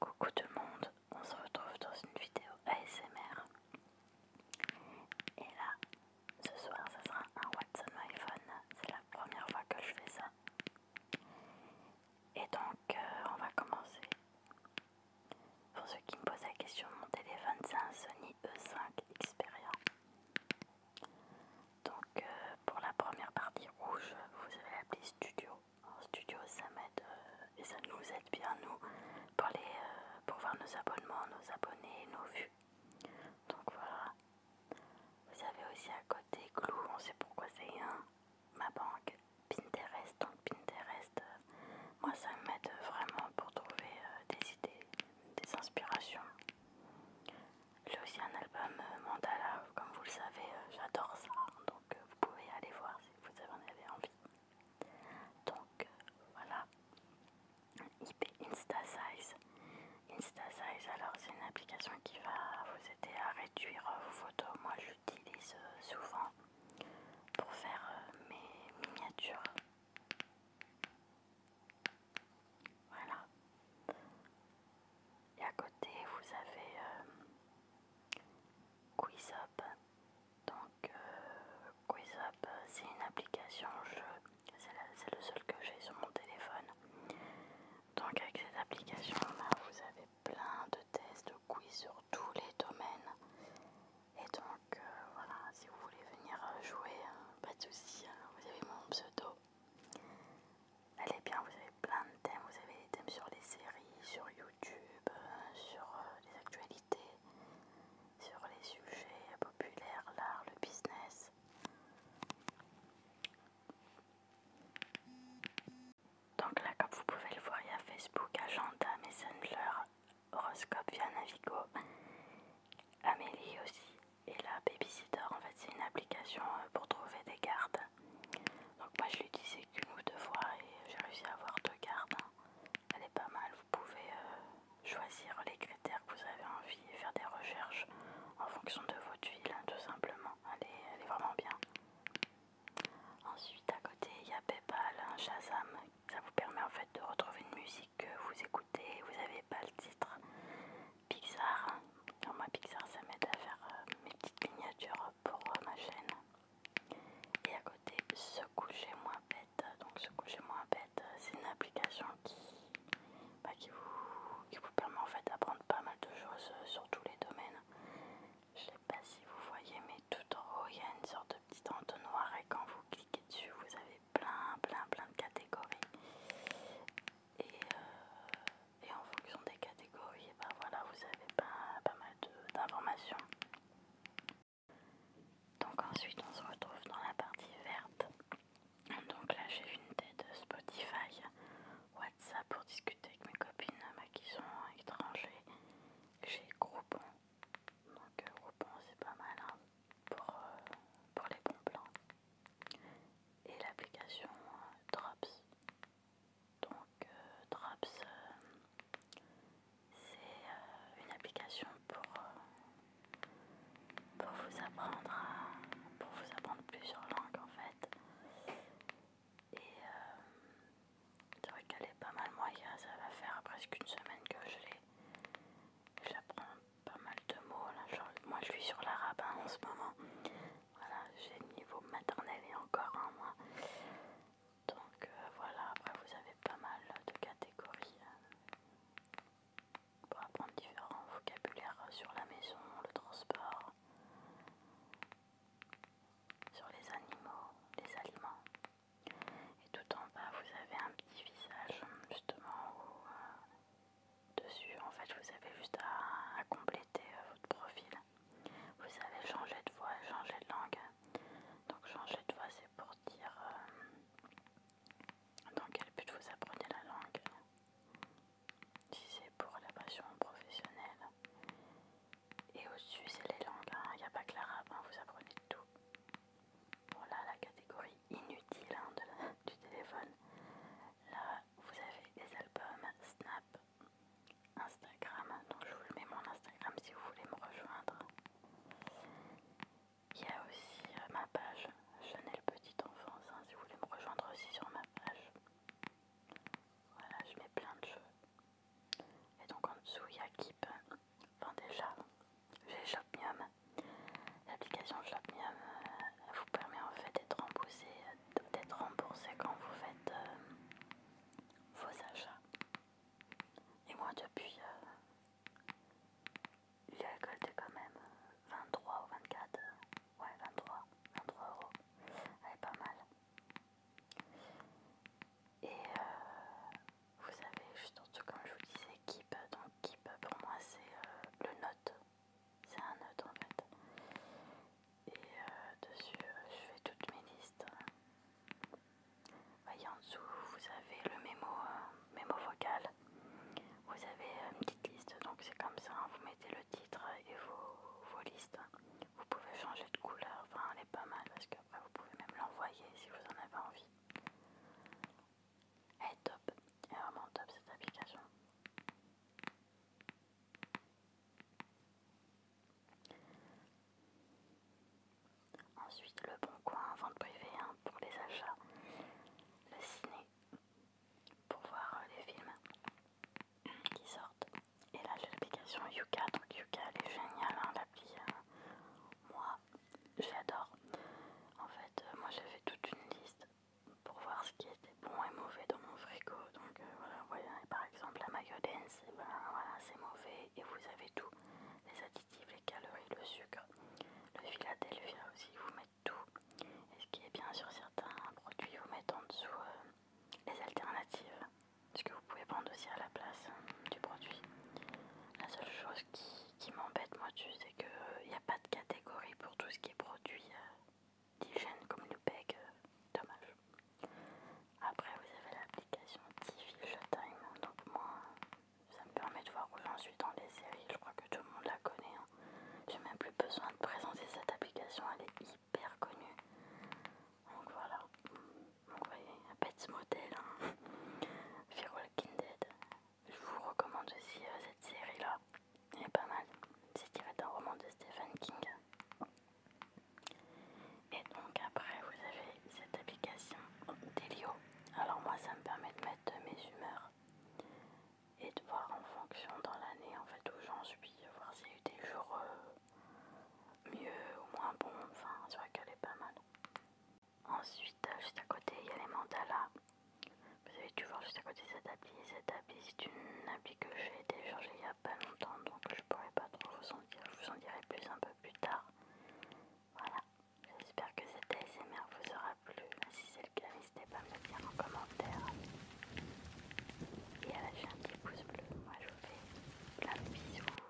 Coucou tout le monde, on se retrouve dans une vidéo ASMR. Et là, ce soir, ça sera un Watson iPhone. C'est la première fois que je fais ça. Et donc, euh, on va commencer. Pour ceux qui me posent la question, mon téléphone c'est un Sony E5 Xperia. Donc euh, pour la première partie rouge, vous avez appelé studio. En studio, ça m'aide euh, et ça nous aide bien nous pour, euh, pour voir nos abonnements, nos abonnés, nos vues. Donc voilà. Vous avez aussi à côté Glou, on sait pourquoi c'est un, ma banque, Pinterest. Donc Pinterest, moi ça m'aide vraiment pour trouver des idées, des inspirations. J'ai aussi un album euh, Mandala, comme vous le savez, euh, j'adore ça, donc euh, vous pouvez aller voir si vous en avez envie. Donc voilà, IP InstaSize. InstaSize, alors c'est une application qui va vous aider à réduire vos photos. Moi j'utilise souvent pour faire mes miniatures voilà. Et à côté, vous avez euh, Quizop, Donc, euh, c'est une application jeu. C'est le seul que j'ai sur mon téléphone. Donc, avec cette application vous avez plein de tests, de quiz sur tous les domaines. Et donc, donc euh, voilà, si vous voulez venir euh, jouer, hein, pas de soucis, hein, vous avez mon pseudo. Elle est bien, vous avez plein de thèmes, vous avez des thèmes sur les séries, sur YouTube, euh, sur les actualités, sur les sujets populaires, l'art, le business. Donc là, comme vous pouvez le voir, il y a Facebook, Agenda, Messenger, horoscope via Navigo. Amélie aussi. Et la Babysitter, en fait, c'est une application euh, pour trouver des gardes. Donc moi, je l'utilisais qu'une ou deux fois et j'ai réussi à avoir deux gardes. Elle est pas mal. Vous pouvez euh, choisir les critères que vous avez envie et faire des recherches en fonction de votre ville, hein, tout simplement. Elle est, elle est vraiment bien. Ensuite, à côté, il y a Paypal, Chazam. Hein, Ça vous permet en fait de retrouver une musique que vous écoutez, vous n'avez pas le titre. Pixar, Dans hein. moi Pixar ça m'aide à faire euh, mes petites miniatures pour euh, ma chaîne. Et à côté, se coucher moins bête. Donc se coucher moins bête, euh, c'est une application bah, qui, vous, permet en fait d'apprendre pas mal de choses sur tous les domaines. Je sais pas si vous voyez, mais tout en haut il y a une sorte de petit entonnoir et quand vous cliquez dessus, vous avez plein, plein, plein de catégories. Et, euh, et en fonction des catégories, ben voilà, vous avez pas, pas mal d'informations. Donc ensuite, on se retrouve dans la partie verte. Donc là, j'ai une tête Spotify, WhatsApp pour discuter avec mes copines qui sont étrangers. J'ai Groupon. Donc euh, Groupon, c'est pas mal. Hein pour, euh, pour les bons plans et l'application euh, Drops. Donc euh, Drops, c'est une application pour, pour vous apprendre pour vous apprendre plusieurs langues en fait. Et c'est vrai qu'elle est pas mal moyenne, ça va faire presque une semaine que je l'ai pas mal de mots moi je suis sur l'arabe en ce moment. Voilà, j'ai le niveau maternel et encore un mois Donc euh, voilà, vous avez pas mal de catégories pour euh, apprendre différents vocabulaires sur la maison, le transport, sur les animaux, les aliments. Et tout en bas, vous avez un petit visage, justement, où euh, dessus, en fait, vous avez juste à, compléter euh, votre profil. Vous avez changé de voix changer de langue. Donc, changer de voix, c'est pour dire euh, dans quel but vous apprenez la langue. Si c'est pour la passion professionnelle. Et au-dessus, c'est les langues, hein. il n'y a pas que l'arabe, hein. vous apprenez tout. Voilà la catégorie inutile hein, de du téléphone. Là, vous avez des albums, Snap, Instagram. Donc, je vous mets mon Instagram si vous voulez me rejoindre. Il y a aussi euh, ma page Chanel Petite Enfance, hein, si vous voulez me rejoindre aussi sur ma page. Voilà, je mets plein de choses. Et donc en dessous, il y a Keep, Enfin déjà, j'ai Shopmium. L'application Shopmium euh, vous permet en fait d'être remboursé, d'être quand vous faites euh, vos achats. Et moi depuis, j'ai euh, récolté quand même 23 ou 24, ouais 23, 23 euros, elle est pas mal. Et vous avez juste en dessous, comme je vous disais, Keep. Donc, Keep pour moi, c'est euh, le note. C'est un note en fait. Et euh, dessus, euh, je fais toutes mes listes. Voyez en dessous, vous avez le mémo, mémo vocal. Vous avez une petite liste, donc c'est comme ça, hein. vous mettez le titre et vos, vos listes. Vous pouvez changer de couleur, enfin elle est pas mal parce que vous pouvez même l'envoyer si vous en avez envie. Elle est top, elle est vraiment top cette application. Ensuite, le bon coin, vente privée hein, pour les achats, le ciné pour voir euh, les films qui sortent. Et là, j'ai l'application Yuka, donc Yuka elle est géniale, hein, l'appli. Euh, moi, j'adore, En fait, euh, moi j'ai fait toute une liste pour voir ce qui était bon et mauvais dans mon frigo. Donc euh, voilà, voyez, par exemple la mayonnaise, eh ben, voilà, c'est mauvais et vous avez tout. Les additifs, les calories, le sucre, le Philadelphia aussi, vous mettez tout. Et ce qui est bien sur certains produits, vous mettez en dessous euh, les alternatives. Ce que vous pouvez prendre aussi à la place hein, du produit. La seule chose qui ce qui m'embête moi dessus, c'est qu'il n'y a pas de catégorie pour tout ce qui est produit euh, d'hygiène comme le euh, dommage. Après vous avez l'application TV Time, donc moi ça me permet de voir où j'en suis dans les séries, je crois que tout le monde la connaît. Je hein. J'ai même plus besoin de présenter cette application, elle est hyper connue. Donc voilà. Donc vous voyez, un petit modèle, hein. Fear Je vous recommande aussi euh, cette série-là. Elle est pas mal. C'est tiré d'un roman de Stephen King. Et donc après, vous avez cette application Delio. Alors moi, ça me permet de mettre mes humeurs et de voir en fonction dans l'année en fait où j'en suis, voir s'il y a eu des jours euh, mieux ou moins bons. Enfin, c'est vrai qu'elle est pas mal. Ensuite, juste à côté, il y a les mandalas. Vous avez dû voir juste à côté cet habit. Cet habit c'est une habit que j'ai déchargée il n'y a pas longtemps, donc je pourrais pas trop vous en dire. Je vous en dirai plus un peu plus tard. Voilà, j'espère que cette ASMR vous aura plu. Bah, si c'est le cas, n'hésitez pas à me le dire en commentaire. Et à la un petit pouce bleu. Moi, je vous fais plein de bisous.